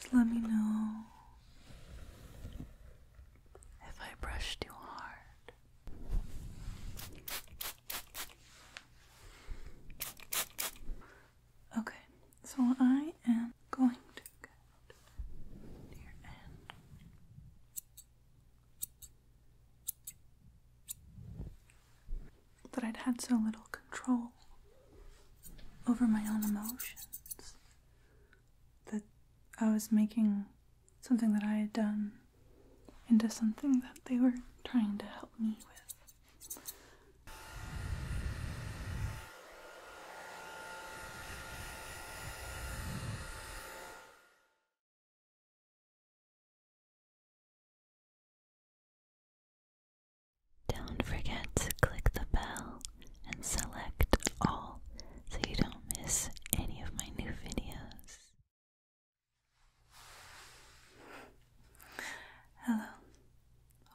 Just let me know if I brush too hard. Okay, so I am going to get near end. That I'd had so little control over my own emotions. That I was making something that I had done into something that they were trying to help me with. Don't forget to click the bell and select all so you don't miss any of my new videos. Hello,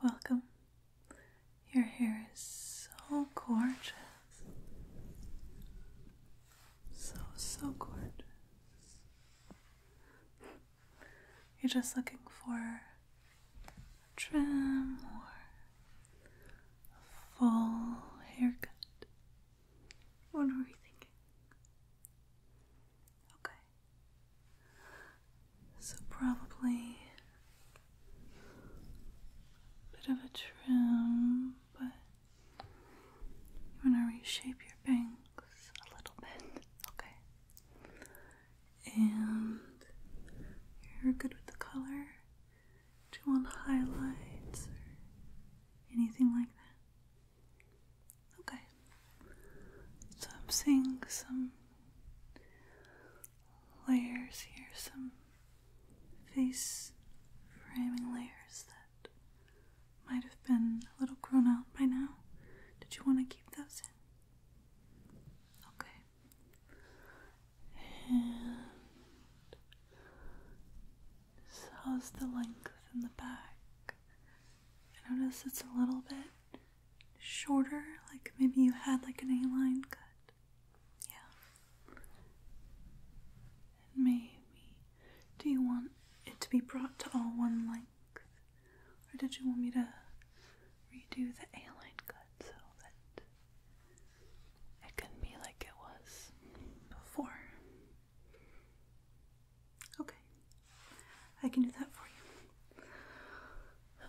welcome. Your hair is so gorgeous. So, so gorgeous you're just looking for a trim or a full haircut. What were you thinking? Okay. So, probably a bit of a trim, but you want to reshape your bangs a little bit. Okay and you're good with the color. Do you want highlights or anything like that? Okay. So I'm seeing some layers here, some face framing layers that might have been a little grown out by now. Did you want to keep those in? Okay how's the length in the back? I notice it's a little bit shorter, like maybe you had like an A-line cut. Yeah. maybe do you want it to be brought to all one length? Or did you want me to redo the A line cut so that it can be like it was before? Okay. I can do that for you.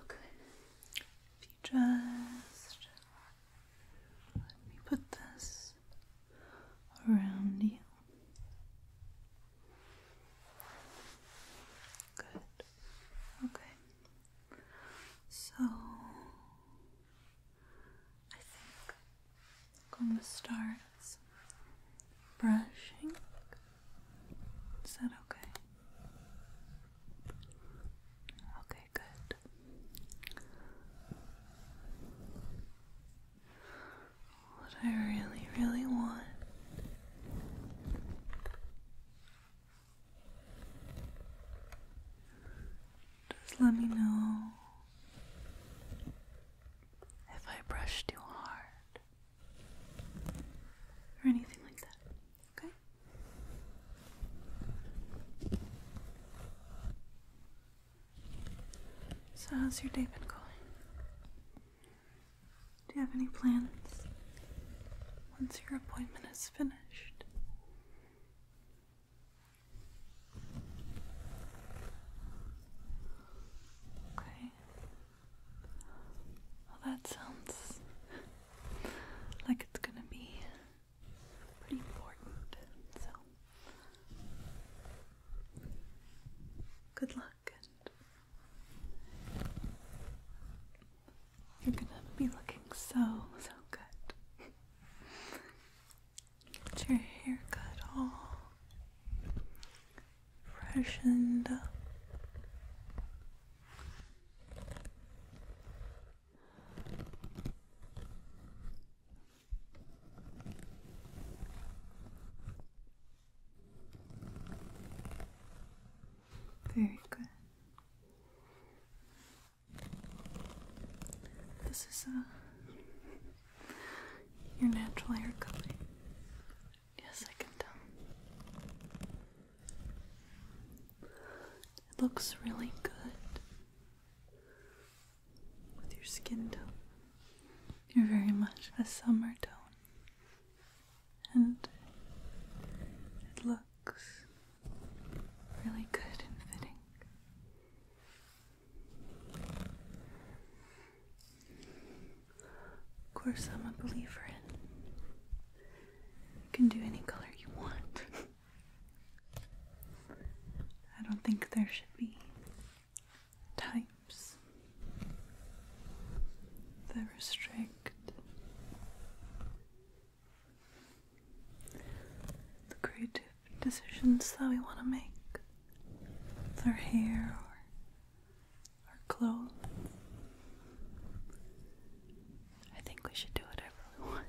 Okay. If you just let me put this around you. Good. Okay. So I think I'm gonna start brushing. Is that okay? Okay, good. What I really, really want just let me know if I brush too hard or anything like that, okay? So, how's your day been going? Do you have any plans once your appointment is finished? Okay. Well, that sounds like it's gonna be pretty important, so good luck you're gonna be looking so, so good. Get your hair cut all freshened up. Very good. This is a uh, your natural hair color. Yes, I can tell. It looks really good with your skin tone. You're very much a summer tone and it looks really good and fitting. Of course, I'm a believer in you can do any color you want. I don't think there should be types that restrict the creative decisions that we want to make for hair or our clothes. I think we should do whatever we want.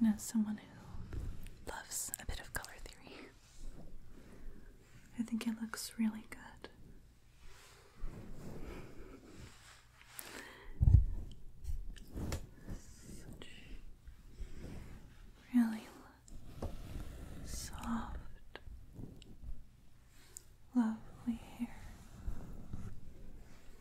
And as someone who loves a bit of color theory, I think it looks really good. really soft, lovely hair.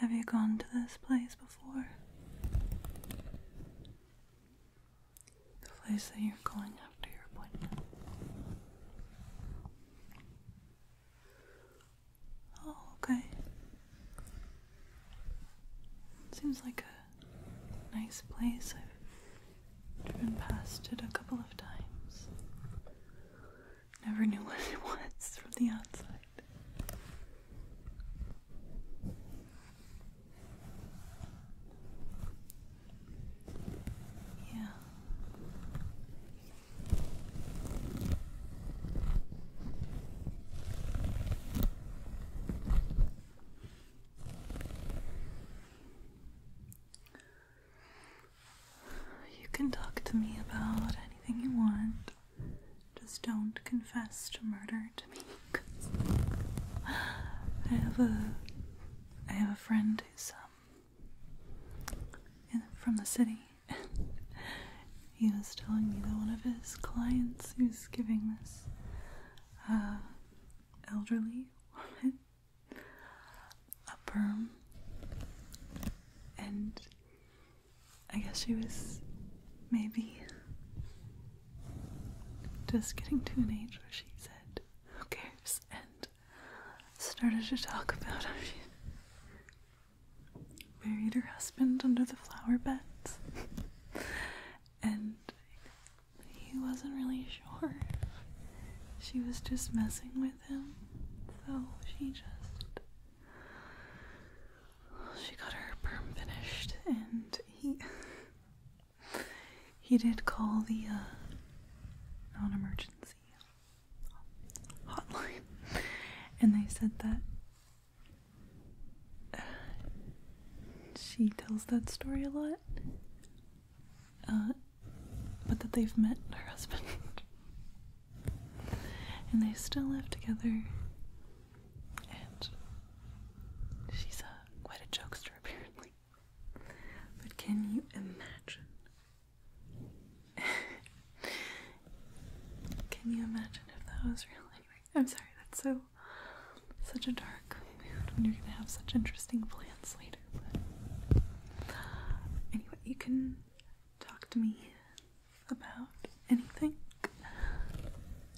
Have you gone to this place before? The place that you're going after your appointment. Oh, okay. Seems like a nice place. I've driven past it a couple of times. Never knew what it was from the outside. Yeah. You can talk to me about anything you want. Just don't confess to murder to me. I have a I have a friend who's um from the city he was telling me that one of his clients who's giving this uh, elderly woman a perm, and I guess she was maybe just getting to an age where she said, Who cares? and started to talk about how she Buried her husband under the flower beds, and he wasn't really sure. She was just messing with him, so she just. She got her perm finished, and he. he did call the uh, non emergency hotline, and they said that she tells that story a lot. Uh, but that they've met her husband. and they still live together. And she's a, uh, quite a jokester, apparently. But can you imagine can you imagine if that was real? Anyway, I'm sorry, that's so such a dark mood when you're gonna have such interesting plans later. But anyway, you can talk to me about anything.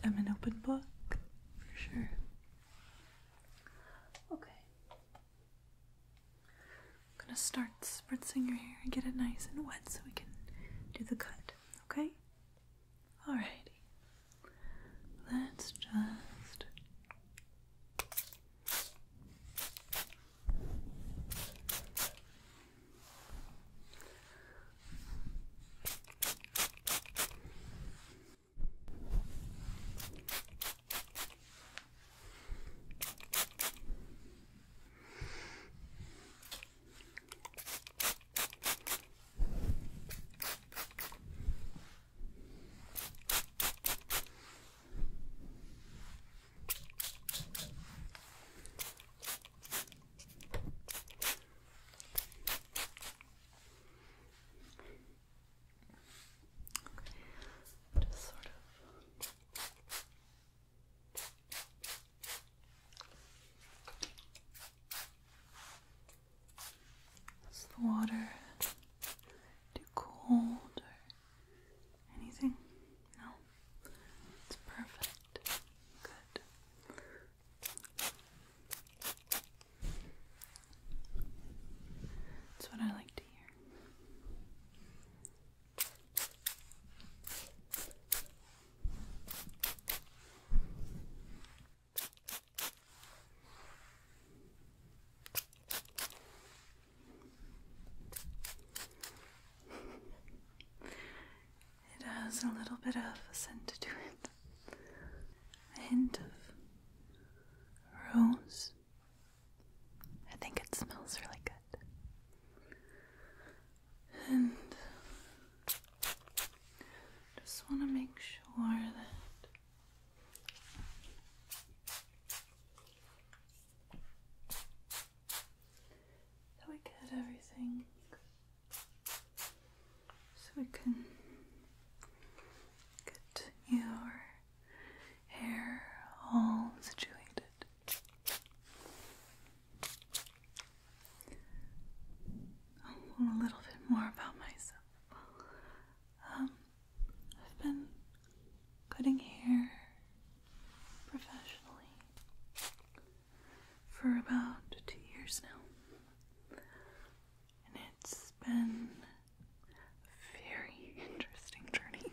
I'm an open book for sure. Okay. I'm gonna start spritzing your hair and get it nice and wet so we can do the cut, okay? Alrighty. Let's just just sort of is the water too cold or anything? No. It's perfect. Good. That's what I like to hear. It has a little bit of a scent to it. A hint of rose. I think it smells really good and just want to make sure that we get everything so we can get your hair all situated a little bit more about myself. Um, I've been cutting hair professionally for about two years now, and it's been a very interesting journey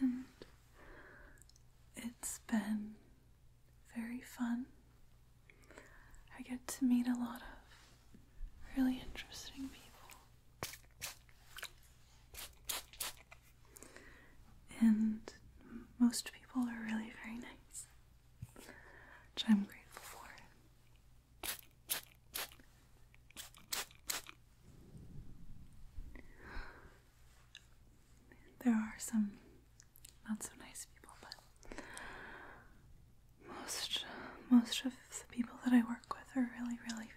and it's been very fun. I get to meet a lot of really interesting people. And most people are really very nice, which I'm grateful for. There are some not so nice people, but most most of the people that I work with are really, really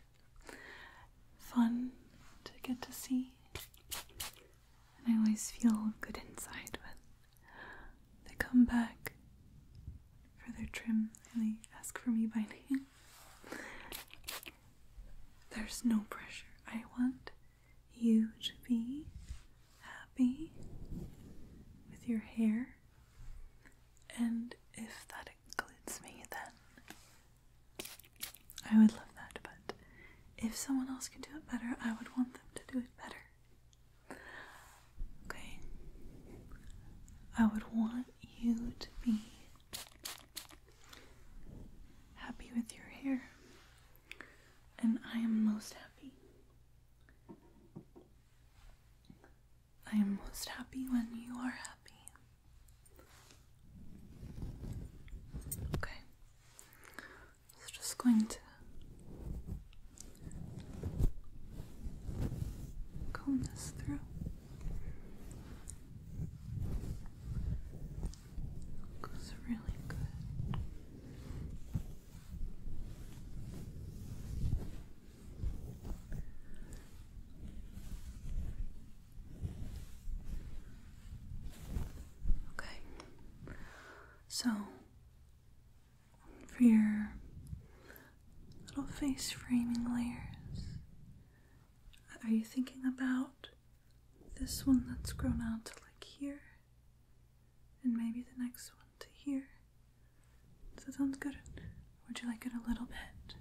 fun to get to see. And I always feel good inside when they come back for their trim and they ask for me by name. There's no pressure. I want you to be happy with your hair, and if that includes me, then I would love that. But if someone else can do it better, I would want them to do it better. Okay? I would want you to be happy with your hair, and I am most happy. I am most happy when you are happy. Okay, so just going to comb this through. It's really good. Okay. So for your little face framing layers, are you thinking about this one that's grown out to like here? And maybe the next one to here? Does that sound good? Would you like it a little bit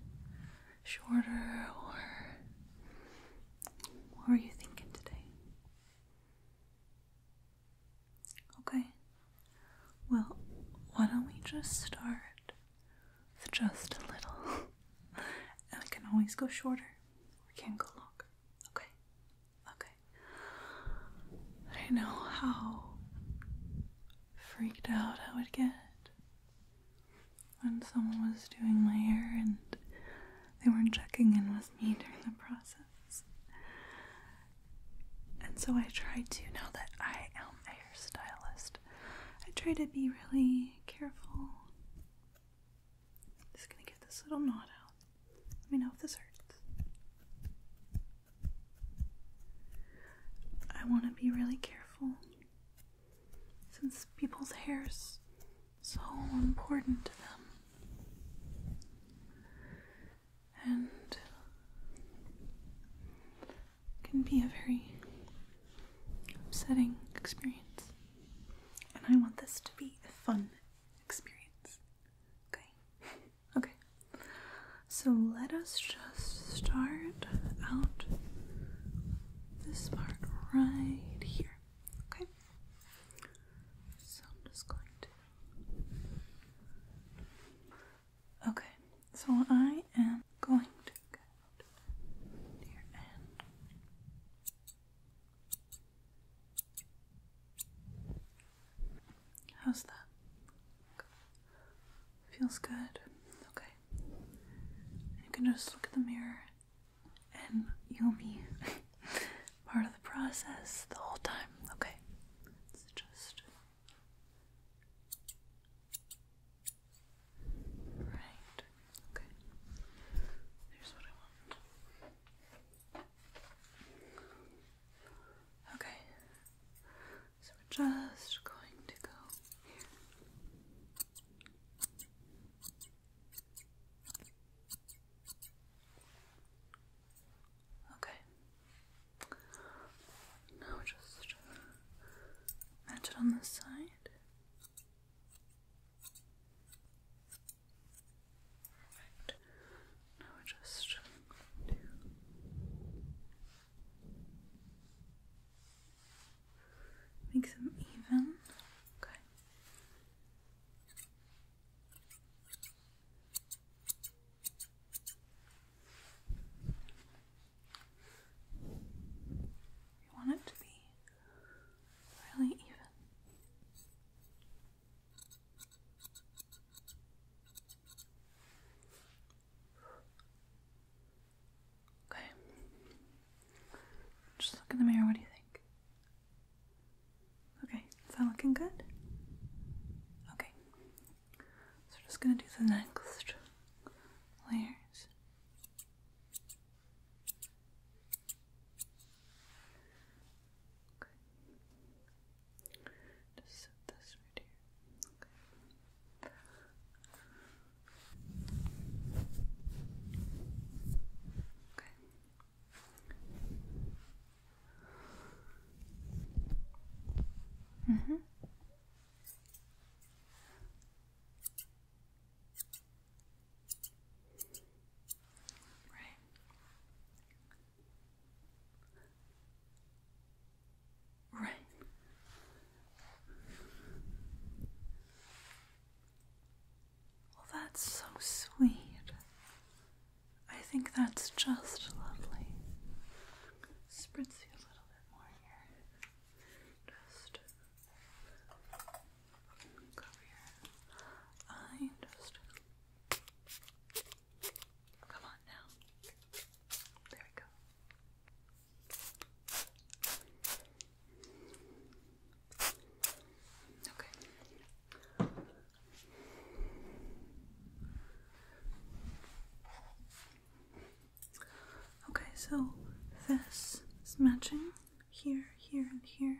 shorter or what were you thinking today? Okay. Well, why don't we just start it's just a little. I can always go shorter. We can go longer. Okay. Okay. I know how freaked out I would get when someone was doing my hair and they weren't checking in with me during the process. And so I try to, know that I am a hairstylist, I try to be really careful. Just gonna get this little knot out. Let me know if this hurts. I want to be really careful since people's hair's so important to them. And can be a very upsetting experience. And I want this to be a fun experience. Okay? okay. So let us just start out this part right here. Okay? So I'm just going to. Okay, so I am going to go to end. How's that? Feels good. Okay. You can just look at the mirror and you'll be part of the process the whole time. Okay. It's just Right. Okay. Here's what I want. Okay. So we're just going to go here. Okay. Now just match it on this side. Perfect. Now we just make them even. Okay. We want it to be really even. Okay. Just look in the mirror, what do you think? Okay, is that looking good? Okay. So we're just gonna do the next layers. Okay. Just set this right here. Okay. Okay. Mm-hmm. Right. Right. Well, that's so sweet. I think that's just lovely. Spritz you a little bit more here. Just Cover your eye and just come on now. There we go. Okay. Okay, so this is matching here, here, and here.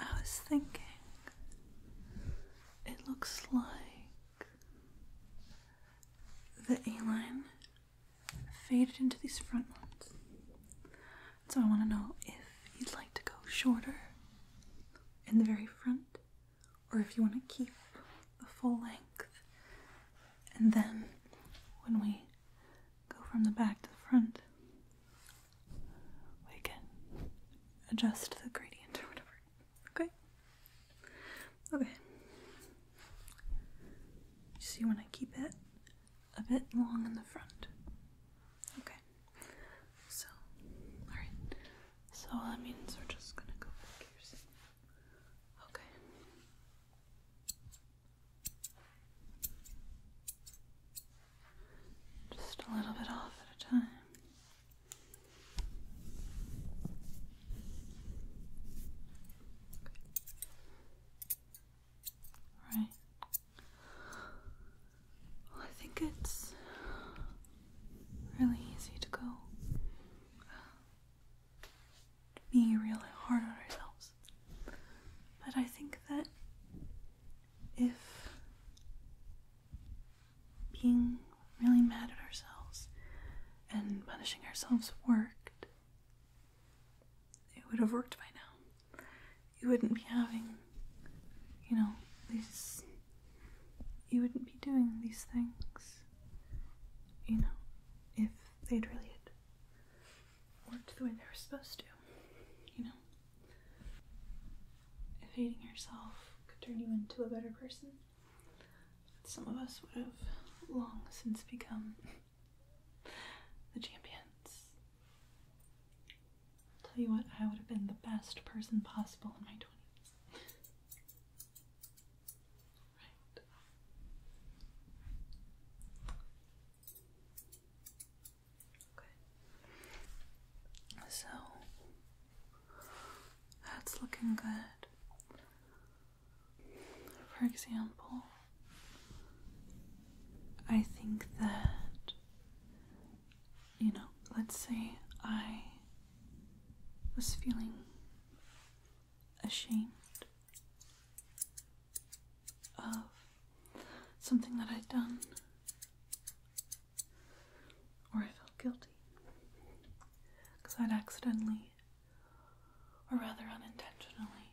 I was thinking it looks like the A line faded into these front ones. So I want to know if you'd like to go shorter in the very front or if you want to keep the full length and then when we go from the back to the front, we can adjust the gradient or whatever. Okay? Okay. You see when I keep it a bit long in the front. Okay. So, alright. So that means we're just gonna go back here. Okay. Just a little bit off at a time. Right. I think it's really easy to go being really hard on ourselves. But I think that if being really mad at ourselves and punishing ourselves worked, it would have worked by now. You wouldn't be having, you know, these. You wouldn't be doing these things, you know, if they'd really worked the way they were supposed to, you know? If hating yourself could turn you into a better person, some of us would have long since become the champions. I'll tell you what, I would have been the best person possible in my 20s right. Okay. So that's looking good. For example, I think that, you know, let's say I was feeling ashamed of something that I'd done, or I felt guilty because I'd accidentally, or rather unintentionally,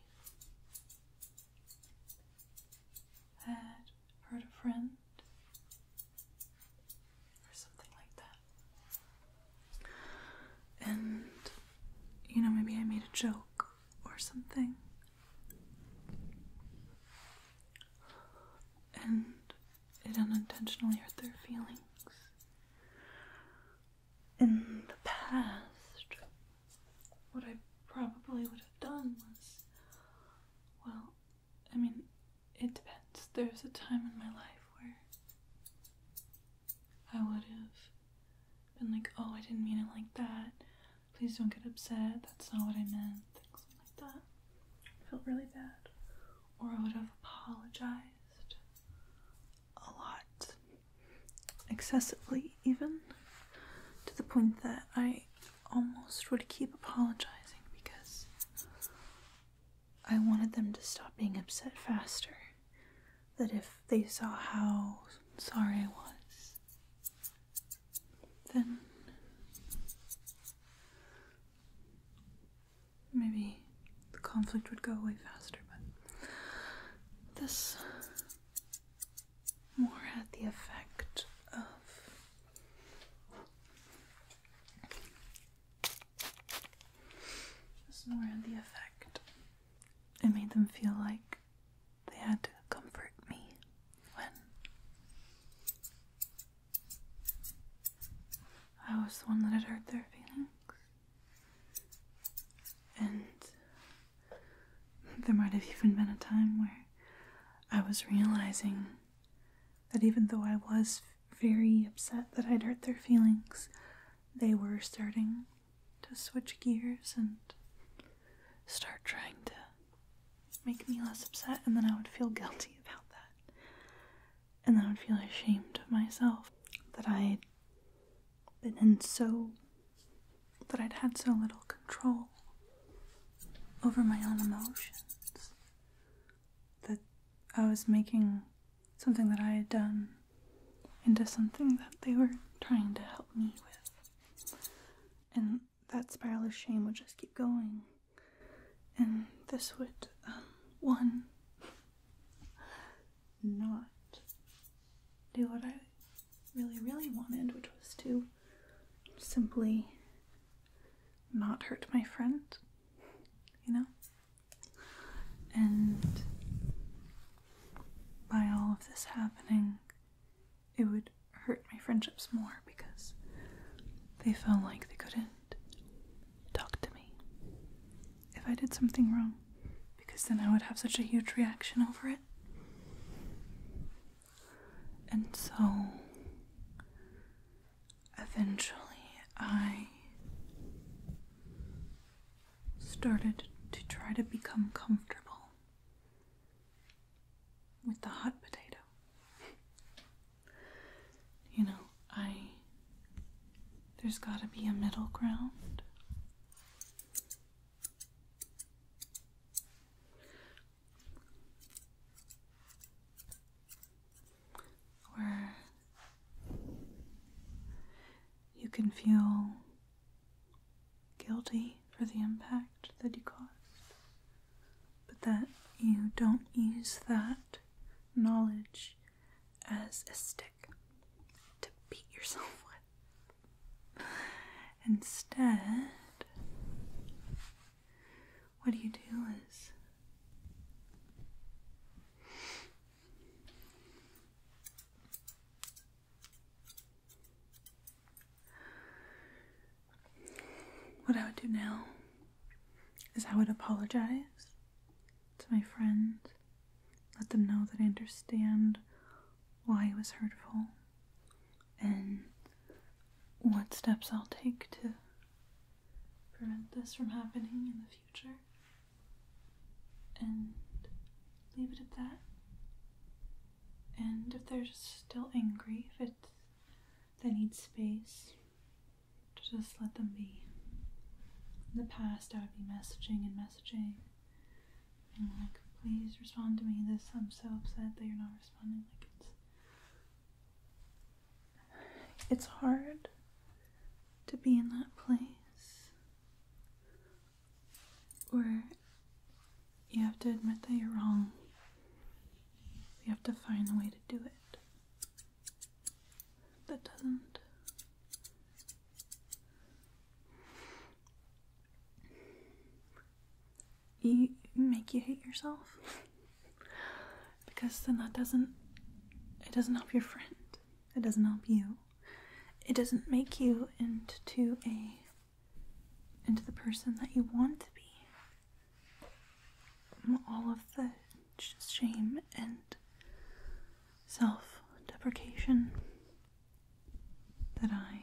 had hurt a friend or something like that. And, you know, maybe I made a joke or something. And it unintentionally hurt their feelings. In the past, what I probably would have done was well, I mean, it depends. There's a time in my life where I would have been like, oh, I didn't mean it like that. Please don't get upset. That's not what I meant. Things like that. I felt really bad. Or I would have apologized a lot, excessively, even to the point that I almost would keep apologizing because I wanted them to stop being upset faster that if they saw how sorry I was, then maybe the conflict would go away faster, but this more had the effect of. This more had the effect it made them feel like they had to comfort me when I was the one that had hurt their feelings. And there might have even been a time where I was realizing that even though I was very upset that I'd hurt their feelings, they were starting to switch gears and start trying to make me less upset, and then I would feel guilty about that. And then I would feel ashamed of myself that I'd been in so. that I'd had so little control over my own emotions. That I was making something that I had done into something that they were trying to help me with. And that spiral of shame would just keep going. And this would, um, one, not do what I really, really wanted, which was to simply not hurt my friend, you know? And by all of this happening, it would hurt my friendships more because they felt like they couldn't talk to me if I did something wrong because then I would have such a huge reaction over it. And so eventually I started to try to become comfortable with the hot potato. you know, I. There's gotta be a middle ground. Where you can feel guilty for the impact that you caused, but that you don't use that knowledge as a stick to beat yourself with. Instead, what do you do is what I would do now is I would apologize to my friends, let them know that I understand why it was hurtful and what steps I'll take to prevent this from happening in the future future. And leave it at that. And if they're still angry, if they need space, to just let them be. In the past, I would be messaging and messaging, and like, please respond to me. This, I'm so upset that you're not responding. Like it's, it's hard to be in that place or you have to admit that you're wrong. You have to find a way to do it that doesn't. You make you hate yourself because then that doesn't it doesn't help your friend it doesn't help you it doesn't make you into a into the person that you want to be. All of the shame and self deprecation that I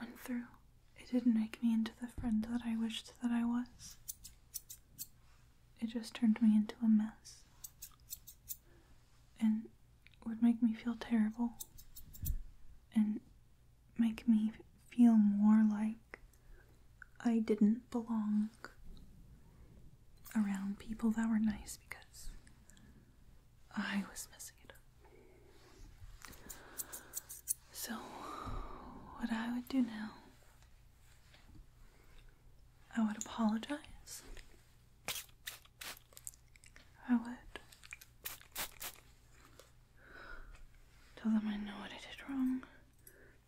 went through. It didn't make me into the friend that I wished that I was it just turned me into a mess and would make me feel terrible and make me feel more like I didn't belong around people that were nice because I was messing it up. So, what I would do now I would apologize. I would tell them I know what I did wrong,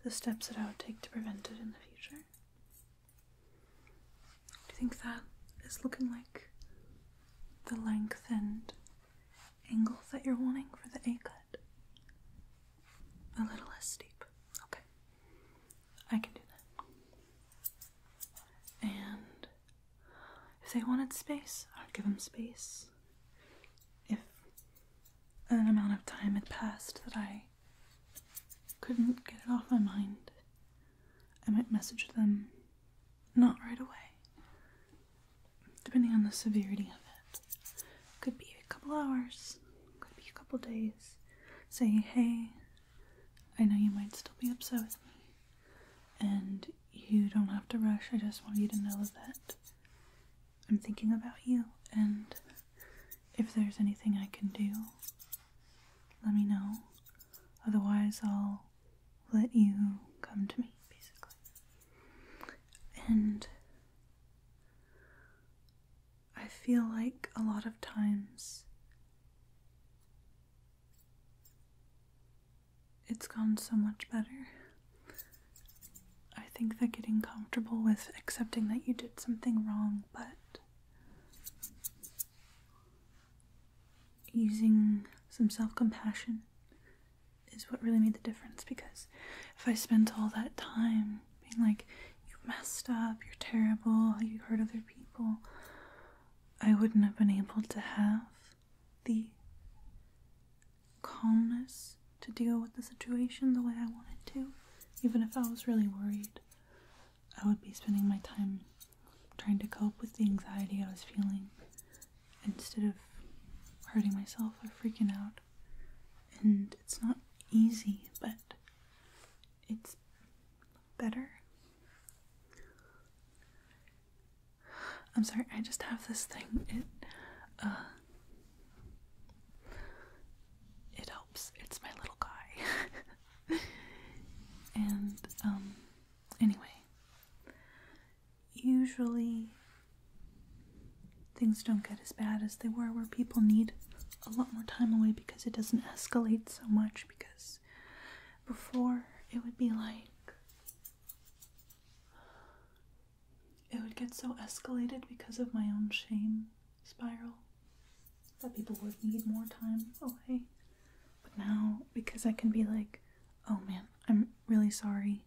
the steps that I would take to prevent it in the future. Do you think that is looking like the length and angle that you're wanting for the A A little less steep. Okay. I can do that. And if they wanted space, I would give them space. If an amount of time had passed that I couldn't get it off my mind, I might message them not right away, depending on the severity of it. Could be a couple hours, could be a couple days. Say hey, I know you might still be upset with me, and you don't have to rush. I just want you to know that I'm thinking about you, and if there's anything I can do, let me know. Otherwise, I'll let you come to me, basically. And I feel like a lot of times it's gone so much better. I think that getting comfortable with accepting that you did something wrong, but using some self compassion is what really made the difference because if I spent all that time being like, You messed up, you're terrible, you hurt other people. I wouldn't have been able to have the calmness to deal with the situation the way I wanted to. Even if I was really worried, I would be spending my time trying to cope with the anxiety I was feeling instead of hurting myself or freaking out. And it's not easy, but it's better. I'm sorry, I just have this thing. It uh, it helps. It's my little guy. and um anyway, usually things don't get as bad as they were, where people need a lot more time away because it doesn't escalate so much. Because before it would be like it would get so escalated because of my own shame spiral that people would need more time away. But now, because I can be like, oh man, I'm really sorry.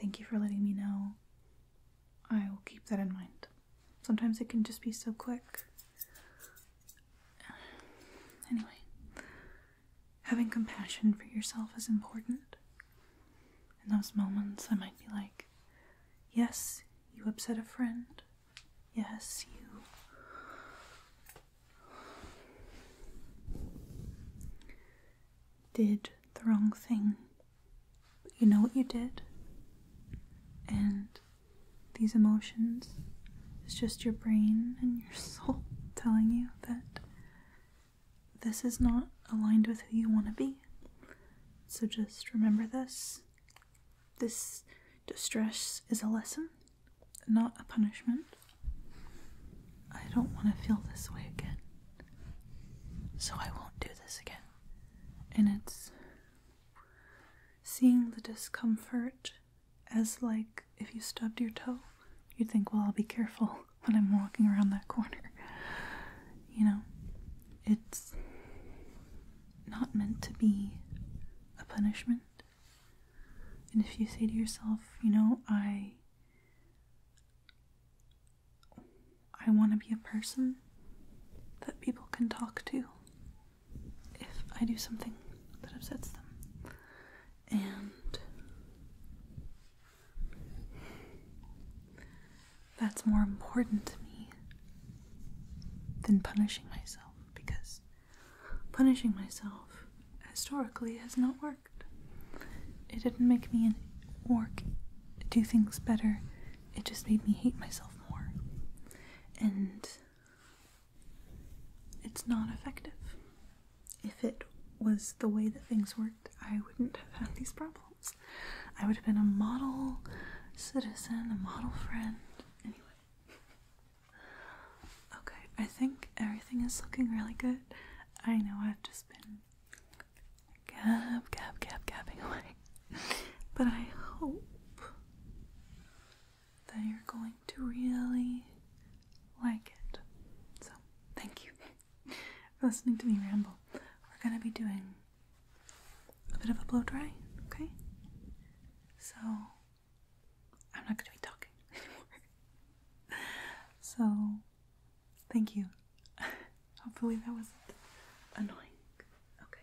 Thank you for letting me know. I will keep that in mind. Sometimes it can just be so quick. Anyway, having compassion for yourself is important. In those moments, I might be like, yes, you upset a friend. Yes, you did the wrong thing. you know what you did. And these emotions its just your brain and your soul telling you that this is not aligned with who you want to be. So just remember this. This distress is a lesson, not a punishment. I don't want to feel this way again. So I won't do this again and it's seeing the discomfort as like if you stubbed your toe you'd think well i'll be careful when i'm walking around that corner you know it's not meant to be a punishment and if you say to yourself you know i I want to be a person that people can talk to if I do something that upsets them. And that's more important to me than punishing myself because punishing myself historically has not worked. It didn't make me work do things better it just made me hate myself more. And it's not effective. If it was the way that things worked, I wouldn't have had these problems. I would have been a model citizen, a model friend. Anyway. Okay, I think everything is looking really good. I know I've just been gab, gab, gab, gabbing away. But I hope that you're going to really like it. So, thank you for listening to me ramble. We're going to be doing a bit of a blow dry, okay? So, I'm not going to be talking anymore. so, Thank you. Hopefully that wasn't annoying. Okay.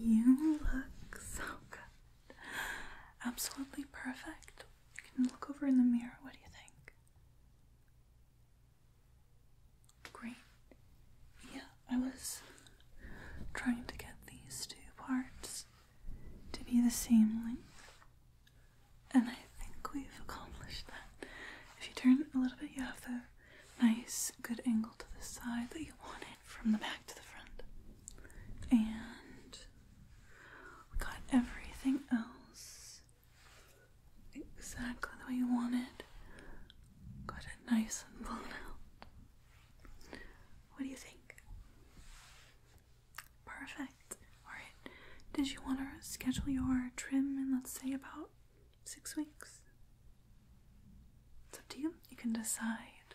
You look so good. Absolutely perfect. You can look over in the mirror. What do you think? Great. Yeah, I was trying to get these two parts to be the same length. And I think we've accomplished that. If you turn a little bit, you have the nice, good angle to the side that you wanted from the back to the front. And we got everything else exactly the way you wanted. Got it nice and blown out. What do you think? Perfect. Alright, did you want to schedule your trim in, let's say, about six weeks? It's up to you. You can decide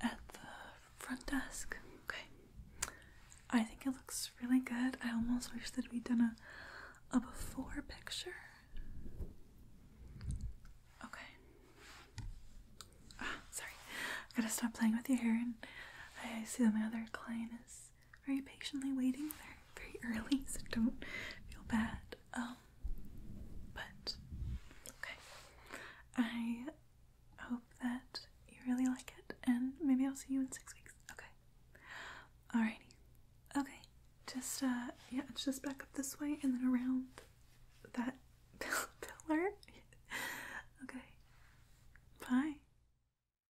at the front desk. Okay. I think it looks really good. I almost wish that we'd done a, a before picture. Okay. Ah, sorry. I gotta stop playing with your hair and I see that my other client is is very patiently waiting. they very early, so don't feel bad. Um, but okay, I hope that you really like it, and maybe I'll see you in six weeks. Okay, alrighty. Okay, just uh, yeah, it's just back up this way and then around that pillar. okay, bye.